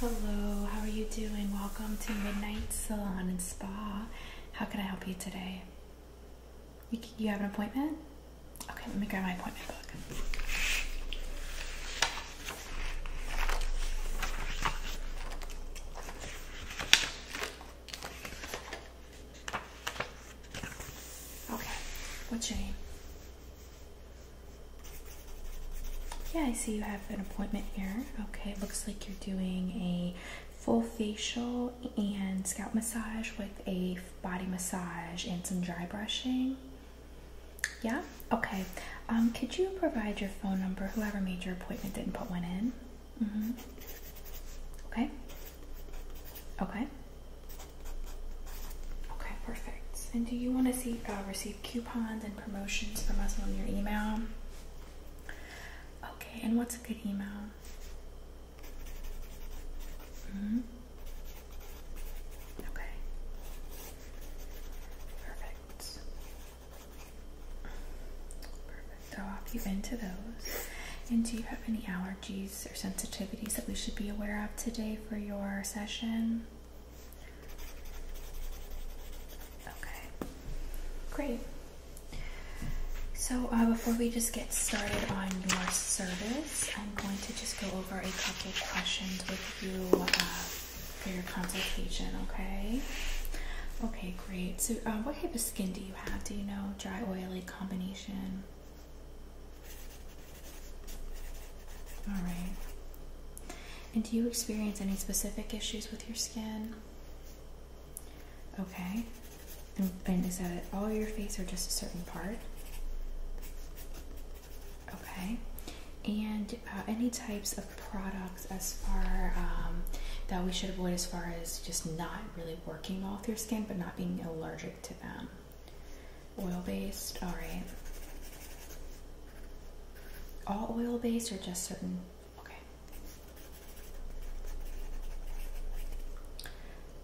Hello, how are you doing? Welcome to Midnight Salon and Spa. How can I help you today? You, have an appointment? Okay, let me grab my appointment book. Okay, what's your name? Yeah, I see you have an appointment here. Okay, it looks like you're doing a full facial and scalp massage with a body massage and some dry brushing. Yeah? Okay. Um, could you provide your phone number? Whoever made your appointment didn't put one in. Mm-hmm. Okay. Okay. Okay, perfect. And do you want to see uh, receive coupons and promotions from us on your email? Okay, and what's a good email? -hmm. Okay. Perfect. Perfect. I'll hop into those. And do you have any allergies or sensitivities that we should be aware of today for your session? Okay, great. So, uh, before we just get started on your service, I'm going to just go over a couple questions with you uh, for your consultation, okay? Okay, great. So, uh, what type of skin do you have? Do you know dry, oily, combination? All right. And do you experience any specific issues with your skin? Okay. And, is that all your face or just a certain part? Okay. And uh, any types of products as far um, that we should avoid as far as just not really working well with your skin but not being allergic to them? Oil based, alright. All oil based or just certain? Okay.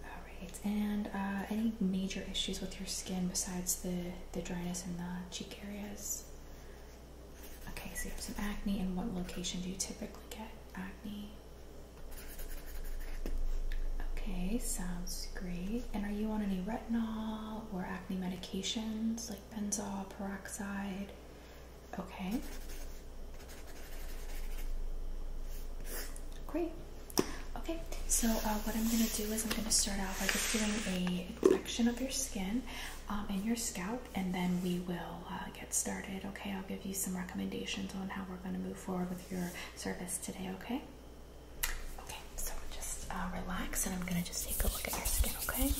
Alright, and uh, any major issues with your skin besides the, the dryness in the cheek areas? Okay, so you have some acne, and what location do you typically get acne? Okay, sounds great. And are you on any retinol or acne medications like benzoyl peroxide? Okay. Great. Okay, so uh, what I'm going to do is I'm going to start out by just doing a inspection of your skin um, and your scalp, and then we will uh, get started. Okay, I'll give you some recommendations on how we're going to move forward with your service today. Okay. Okay, so just uh, relax and I'm going to just take a look at your skin, Okay.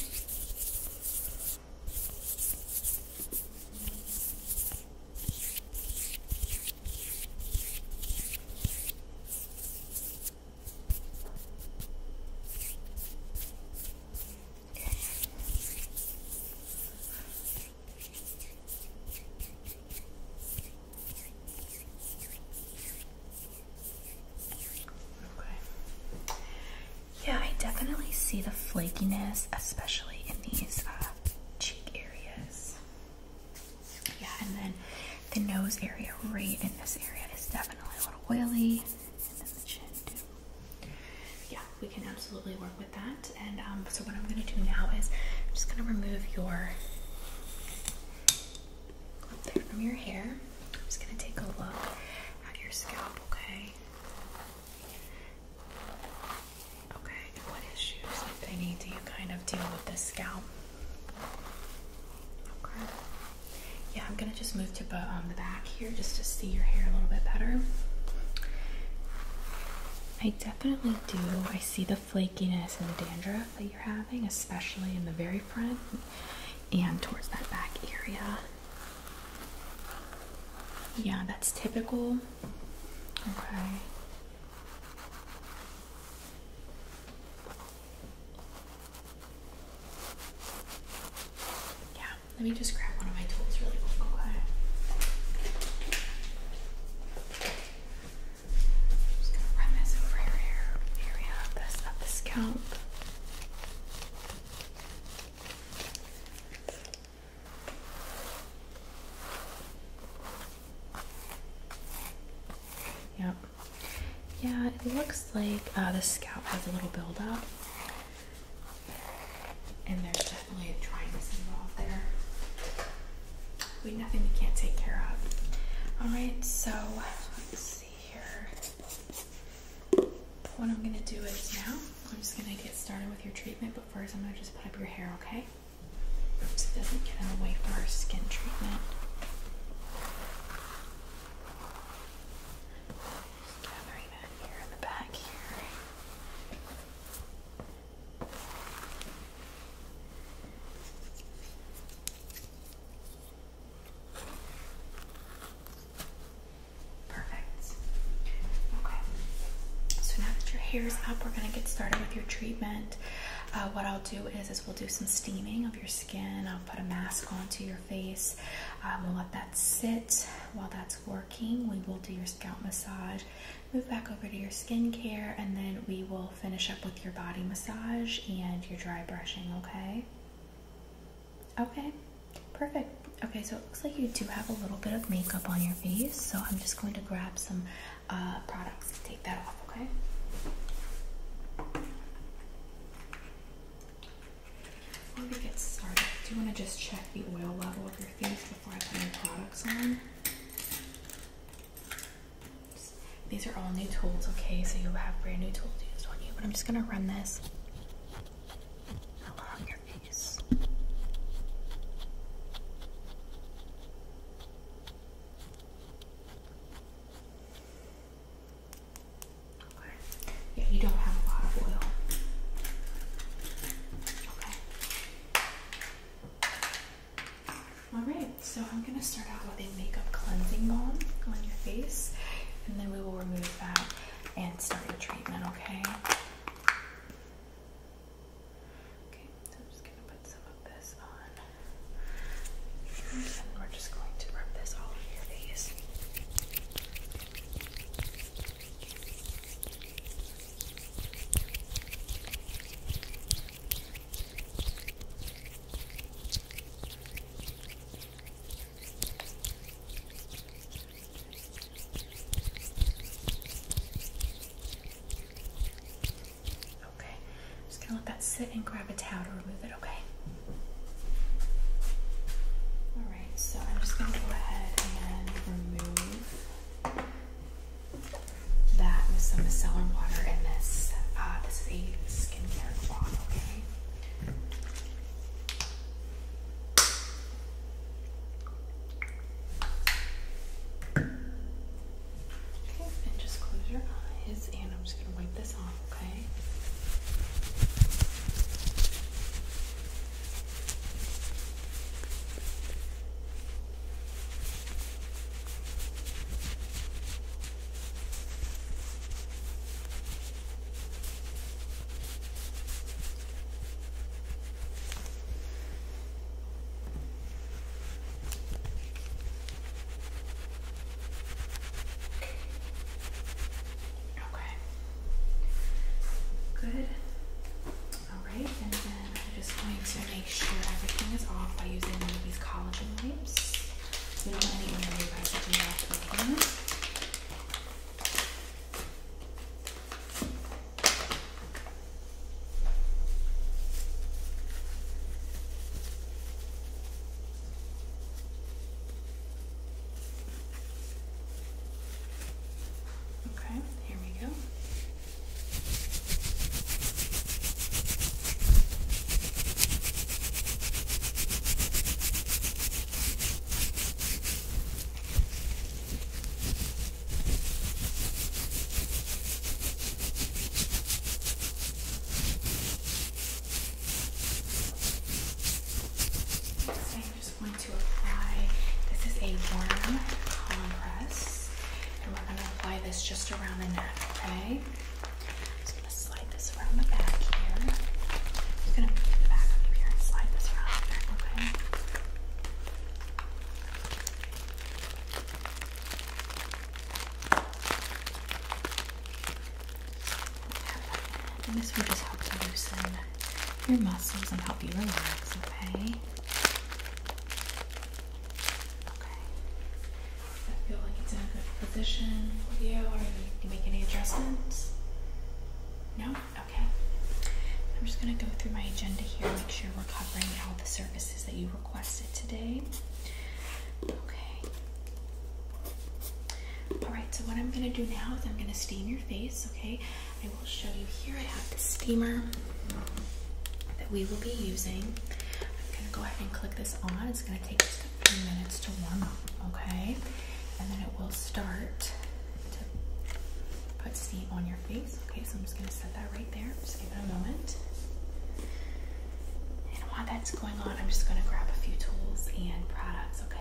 Okay. Yeah, I definitely see the flakiness, especially in these uh, cheek areas. Yeah, and then the nose area right in this area is definitely a little oily. Yeah, we can absolutely work with that. And um, so what I'm gonna do now is I'm just gonna remove your up there from your hair. I'm just going to take a look at your scalp, okay? Okay, what issues, if any, do you kind of deal with this scalp? Okay. Yeah, I'm gonna just move to um, the back here just to see your hair a little bit better. I definitely do. I see the flakiness and dandruff that you're having, especially in the very front and towards that back area. Yeah, that's typical. Okay. Yeah, let me just grab one of my tools really quick, okay? just gonna run this over your hair area of this of the scalp. Yep. Yeah, it looks like uh, the scalp has a little buildup. And there's definitely a dryness involved there we nothing we can't take care of. Alright, so let's see here. What I'm gonna do is now I'm just gonna get started with your treatment, but first I'm gonna just put up your hair, okay? So it doesn't get in the way from our skin treatment. gathering that here in the back here. Perfect. Okay. So now that your hair is up, we're gonna get started with your treatment. Uh, what I'll do is, is we'll do some steaming of your skin. I'll put a mask onto your face. Um, we'll let that sit while that's working. We will do your scalp massage, move back over to your skincare, and then we will finish up with your body massage and your dry brushing, okay? Okay, perfect. Okay, so it looks like you do have a little bit of makeup on your face, so I'm just going to grab some uh, products to take that off, okay? Before we get started, do you want to just check the oil level of your face before I put any products on. These are all new tools, okay? So you'll have brand new tools used on you. But I'm just gonna run this along your Okay. Yeah, you don't have a lot of oil. Okay. Alright, so I'm going to start out with a makeup cleansing balm on your face, and then we will remove that and start your treatment, okay? Okay, so I'm just going to put some of this on, and we're just going to rub this all over your face. Okay, Okay, just gonna let that sit and grab a towel to remove it, okay? Alright, so I'm just gonna go ahead and remove that with some micellar water in this. Uh, this is a skincare cloth, okay? Okay, and just close your eyes, and I'm just gonna wipe this off, okay? Okay, Okay. Good. All right, and then I'm just going to make sure everything is off by using these collagen wipes. We don't want any oily residue Okay, here we go. I'm just going to apply, this is a warm compress, and we're going to apply this just around the neck, okay? just gonna slide this around the back here. I'm just gonna move the back of here and slide this around okay? And this will just help loosen your muscles and help you relax, okay? Okay. I feel like it's in a good position with you. Are you make any adjustments? No? Okay. I'm just going to go through my agenda here, make sure we're covering all the services that you requested today. Okay. Alright, so what I'm going to do now is I'm going to steam your face, okay? I will show you here. I have the steamer that we will be using. I'm gonna go ahead and click this on. It's gonna take just a few minutes to warm up, okay? And then it will start to put steam on your face. Okay, so I'm just gonna set that right there. Just give it a moment. And while that's going on, I'm just gonna grab a few tools and products, okay?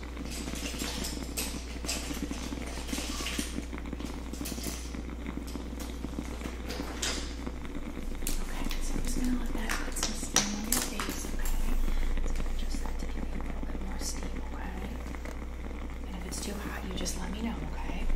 Okay, so I'm just gonna let that put some steam on your face, okay? just let to give you a little bit more steam, okay? And if it's too hot, you just let me know, Okay,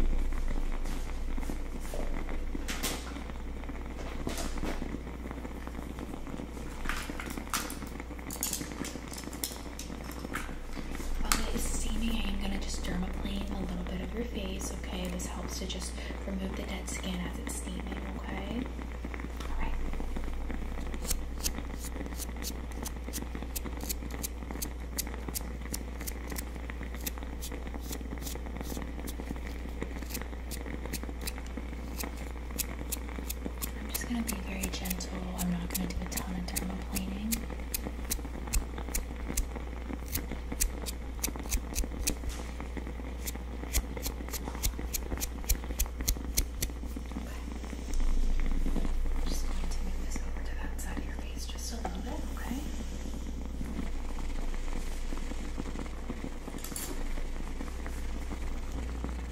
while it is steaming, I am going to just dermaplane a little bit of your face, okay? This helps to just remove the dead skin as it's steaming, okay? Alright. Okay. I'm just going to be very gentle. I'm not going to do a ton of thermoplaning. Okay. just going to move to that side of your face just a little bit, Okay.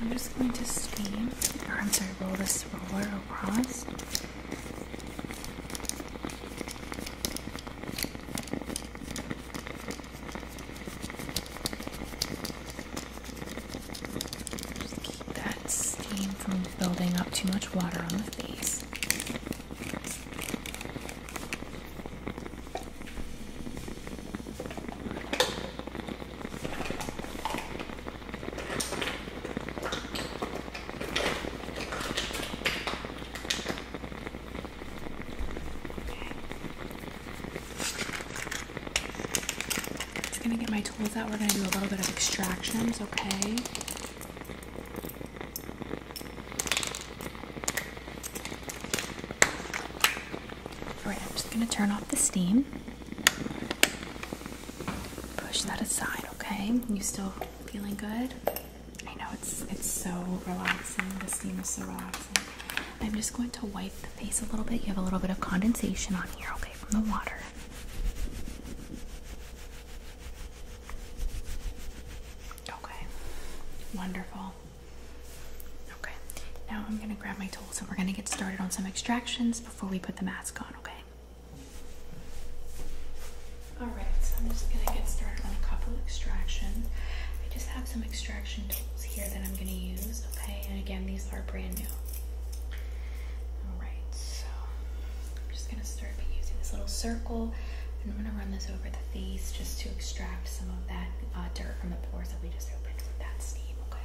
I'm just going to steam, or I'm sorry, roll this roller across. Just keep that steam from building up too much water on the face. I'm just gonna get my tools out. We're gonna do a little bit of extractions, okay? Alright, I'm just gonna turn off the steam. Push that aside, okay? You still feeling good? I know it's it's so relaxing. The steam is so relaxing. I'm just going to wipe the face a little bit. You have a little bit of condensation on here, okay, from the water. Okay, wonderful. Okay, now I'm gonna grab my tools and we're gonna get started on some extractions before we put the mask on, okay? Alright, so I'm just gonna get started on a couple extractions. I just have some extraction tools here that I'm gonna use, okay? And again, these are brand new. Alright, so I'm just gonna start be using this little circle and I'm going to run this over the face just to extract some of that uh, dirt from the pores that we just opened with that steam, okay?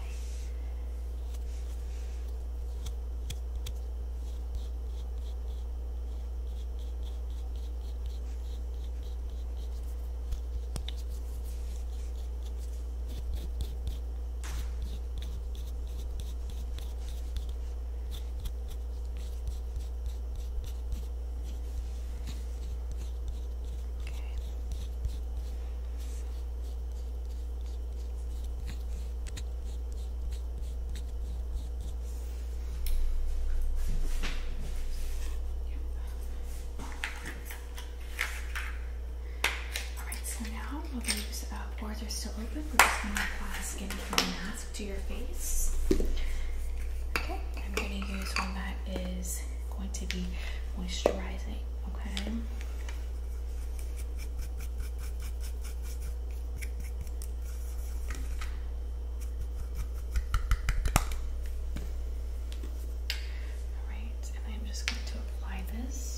Alright, so now while the boards are still open, we're just going to apply the skin from now to your face. Okay, I'm going to use one that is going to be moisturizing, okay? Alright, and I'm just going to apply this.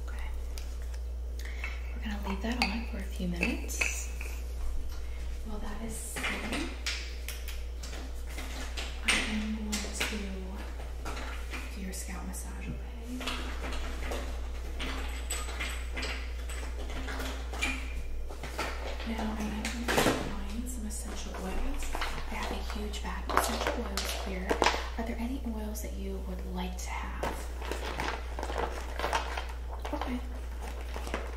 Okay. We're going to leave that on for a few minutes. While that is sitting, I am going to do your scalp massage, okay? Now, I might be applying some essential oils. I have a huge bag of essential oils here. Are there any oils that you would like to have? Okay,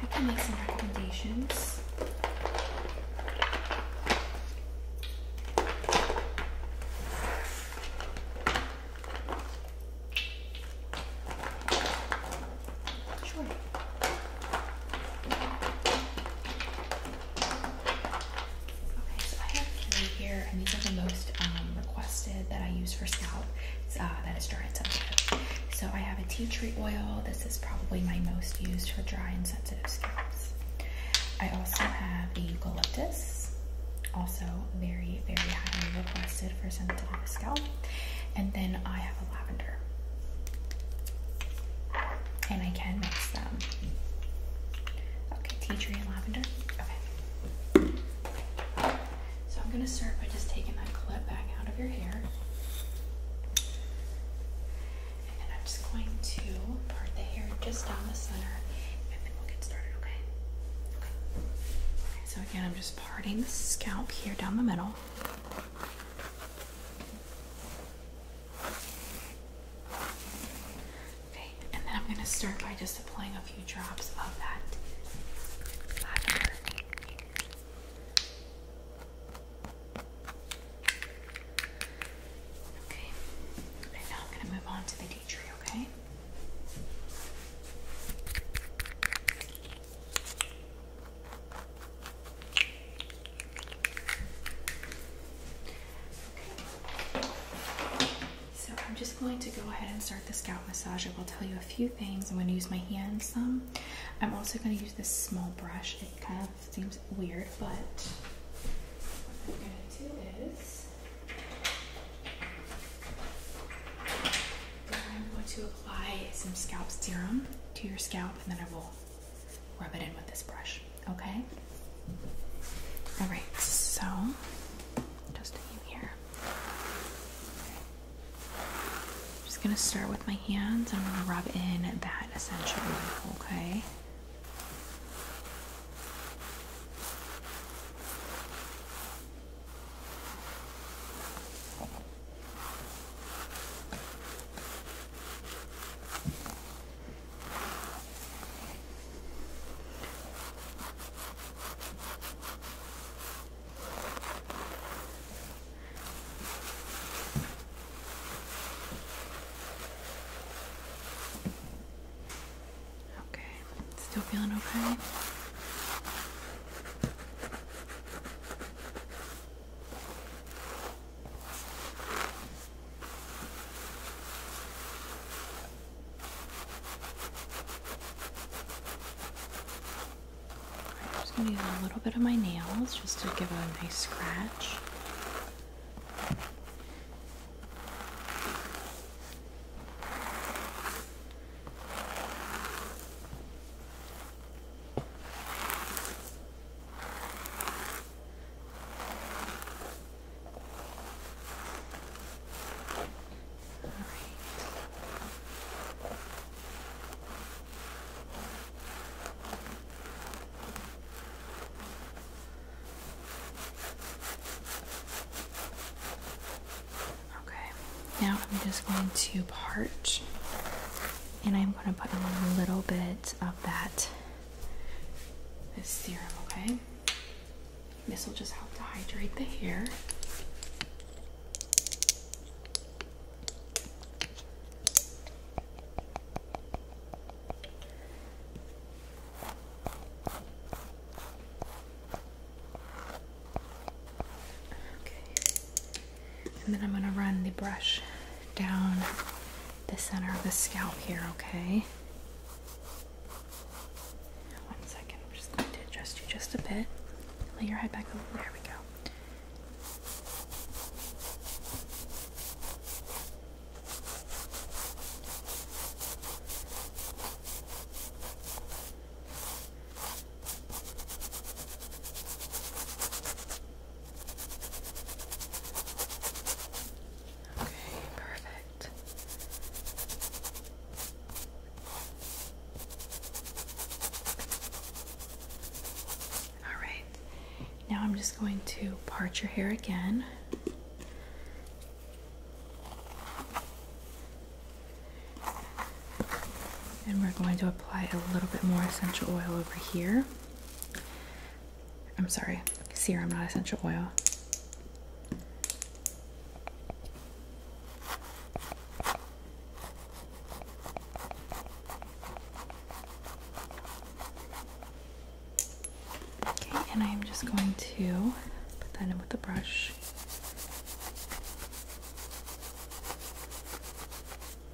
I can make some recommendations. Sure. Okay, so I have three here, and these are the most um, requested that I use for scalp. Uh, that is dry and sensitive. So I have a tea tree oil. This is probably my most used for dry and sensitive scalps. I also have a eucalyptus, also very, very highly requested for sensitive scalp. And then I have a lavender. And I can mix them. Okay, tea tree and lavender. Okay. So I'm gonna start by just taking that clip back out of your hair. And then I'm just going to part the hair just down the center and then we'll get started, Okay. okay so again, I'm just parting the scalp here down the middle. Okay, and then I'm going to start by just applying a few drops of that Okay, and now I'm going to move on to the tea tree, Okay. So I'm just going to go ahead and start the scalp massage. I will tell you a few things. I'm going to use my hands some. I'm also going to use this small brush. It kind of seems weird, but what I'm going to do is I'm going to apply some scalp serum to your scalp and then I will rub it in with this brush, okay? All right, so just you here. just gonna start with my hands. I'm gonna rub in that essential oil, okay? Okay, still feeling okay? I'm just going to use a little bit of my nails just to give it a nice scratch. Okay, now I'm just going to part and I'm going to put on a little bit of about that, serum, okay? This will just help to hydrate the hair. Okay. And then I'm going to run the brush down the center of the scalp here, okay? One second, I'm just going to adjust you just a bit. Lay your head back over. There we go. Okay, perfect. All right. Now I'm just going to part your hair again. And we're going to apply a little bit more essential oil over here. I'm sorry, serum, not essential oil. Okay, and I'm just going to put that in with the brush.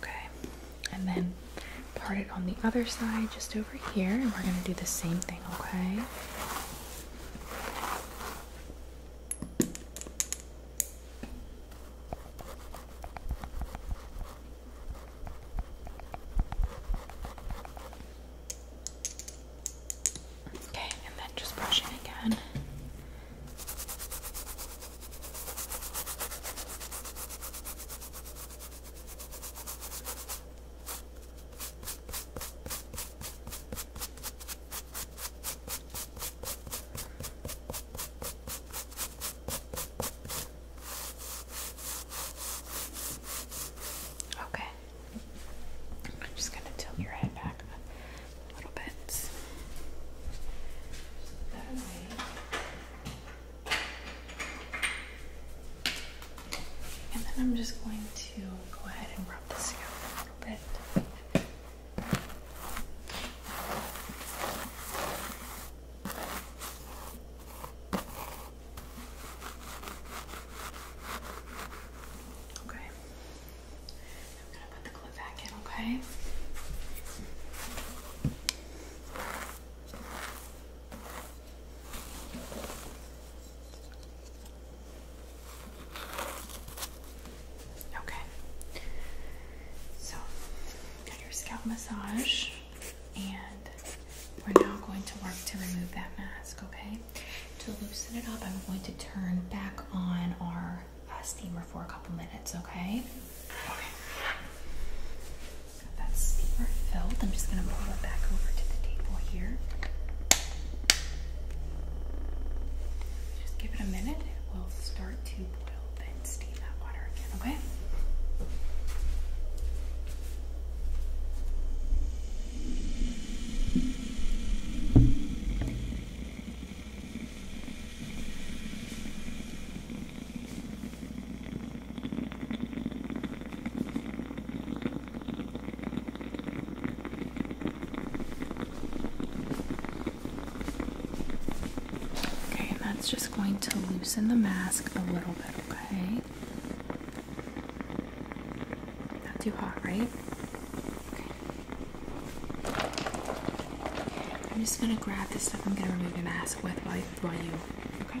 Okay, and then part it on the other side just over here, and we're going to do the same thing, okay? Okay, and then just brushing again. Okay. I'm just going to tilt your head back a little bit. That way and then I'm just going to go ahead and rub this out a little bit. Okay. I'm gonna put the glue back in, okay? Okay. So, got your scalp massage, and we're now going to work to remove that mask, okay? To loosen it up, I'm going to turn back on our uh, steamer for a couple minutes, okay? Got that steamer filled. I'm just going to pull it back over to the table here. Just give it a minute. It will start to boil, then steam that water again, Okay, Okay, and that's just going to loosen the mask a little bit, okay? Not too hot, right? Okay. I'm just gonna grab the stuff I'm gonna remove the mask with while you right Ryu. Okay.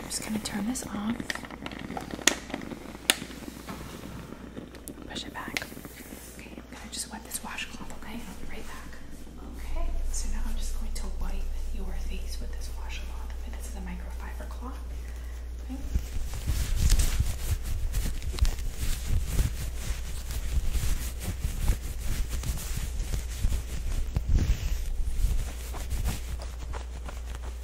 I'm just going to turn this off. Push it back. Okay, I'm going to just wet this washcloth, okay? I'll be right back. Okay, so now I'm just going to wipe your face with this washcloth. this is a microfiber cloth. Okay.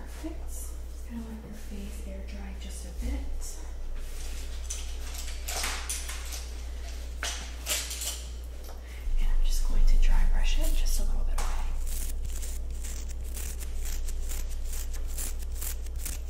Perfect. Just gonna let your face air dry just a bit. And I'm just going to dry brush it just a little bit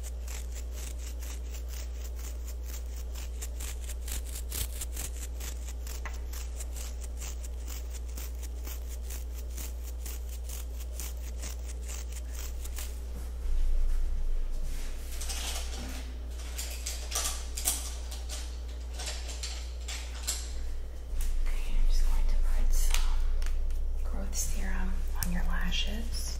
Okay, I'm just going to put some growth serum on your lashes.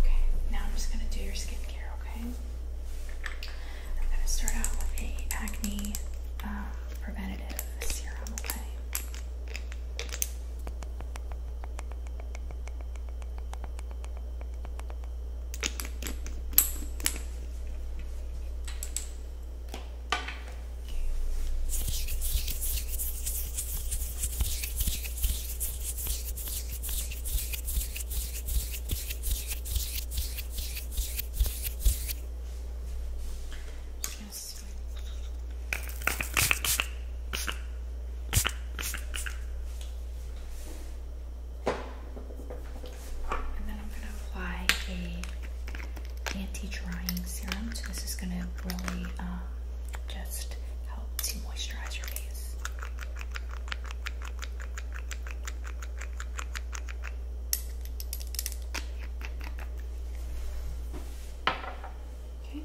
Okay, now I'm just going to do your skincare, okay? I'm going to start out with a acne um, preventative serum, and then I'm going to apply a anti-drying serum. So this is going to really uh, just helps to moisturize your face. Okay,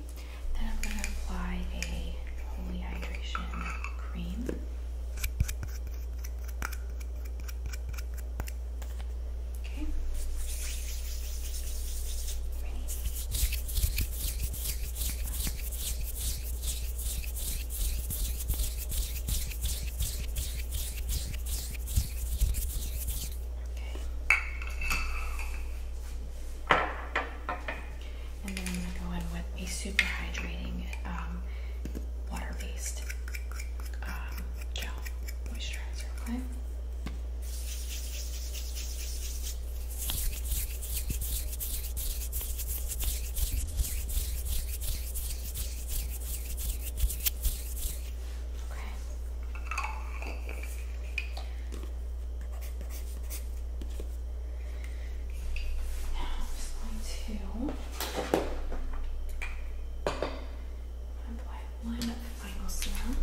then I'm going to apply a holy hydration cream. Okay, and then I'm going to go in with a super hydrating um, water based um, gel moisturizer, okay? Okay. Now I'm just going to apply a Serum.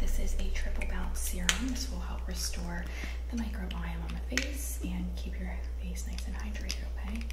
This is a triple bout serum. This will help restore the microbiome on the face and keep your face nice and hydrated, Okay.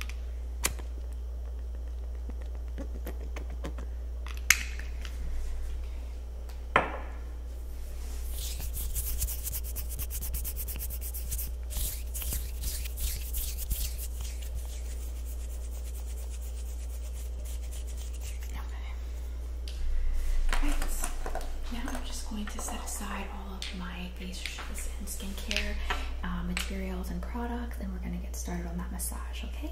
Now I'm just going to set aside all of my facials and skincare uh, materials and products, and we're going to get started on that massage, Okay.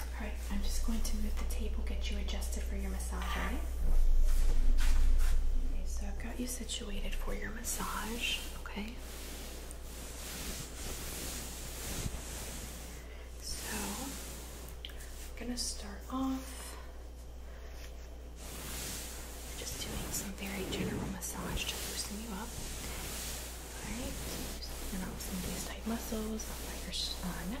All right, I'm just going to move the table, get you adjusted for your massage, Okay, so I've got you situated for your massage, okay? So, I'm gonna start off just doing some very general massage to loosen you up. Alright, muscles on your uh, neck.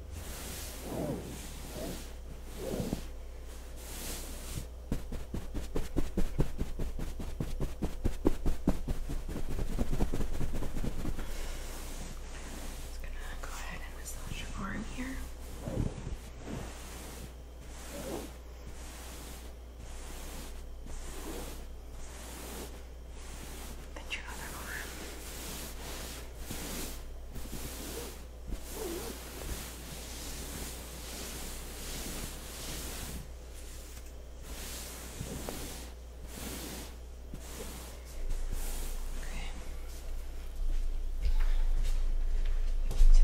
Just gonna go ahead and massage your arm here. Then your other arm. To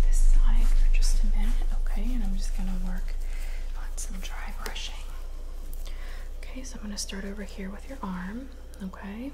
this side for just a minute, okay, and I'm just gonna work on some dry brushing. Okay, so I'm gonna start over here with your arm, okay?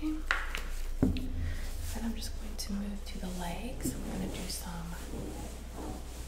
Okay. Then I'm just going to move to the legs. I'm going to do some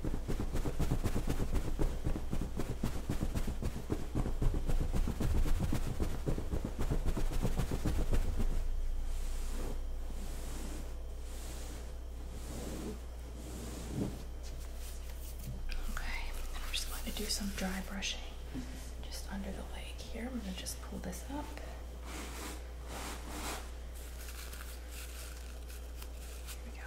Okay, and we just going to do some dry brushing just under the leg here. I'm going to just pull this up. Here we go.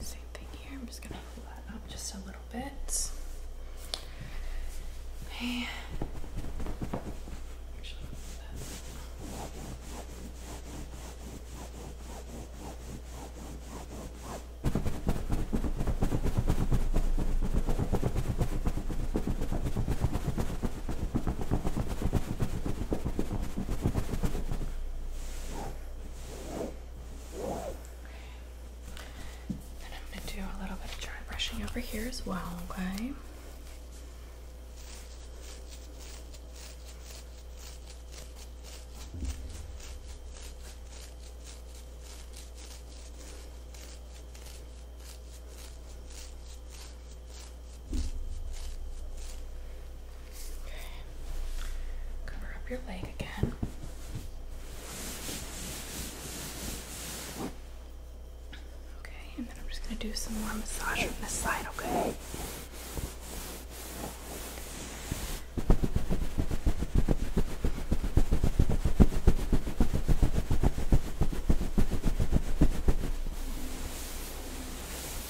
Same thing here. I'm just gonna pull that up just a little bit. Okay. And I'm going to do a little bit of dry brushing over here as well, Okay. Okay. Cover up your leg again. Okay, and then I'm just going to do some more massage on this side, okay?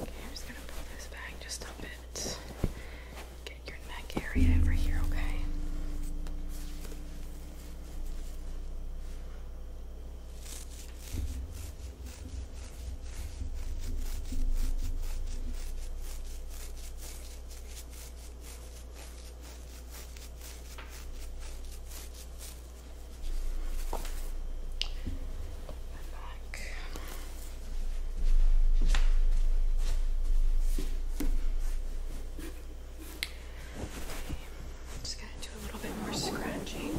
Okay, I'm just gonna pull this back just a bit. Get your neck area over here, okay? And I'm just going to do a little bit more scratching.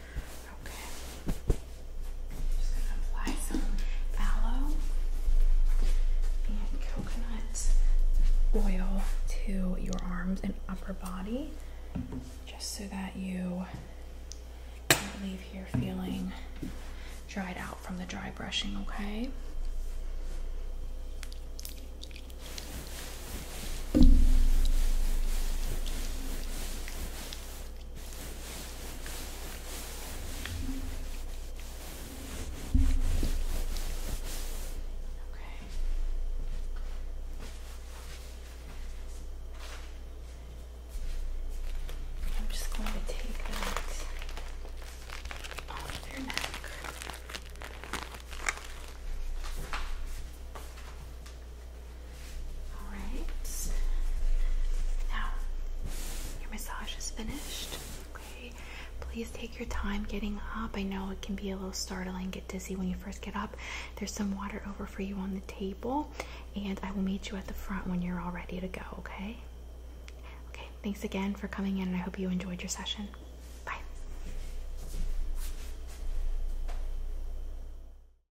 Okay. just going to apply some aloe and coconut oil to your arms and upper body just so that you don't leave here feeling dried out from the dry brushing, okay? I'm just going to take that off your neck. All right. Now, your massage is finished. Okay. Please take your time getting up. I know it can be a little startling, get dizzy when you first get up. There's some water over for you on the table, and I will meet you at the front when you're all ready to go, okay? Okay, thanks again for coming in, and I hope you enjoyed your session. Bye.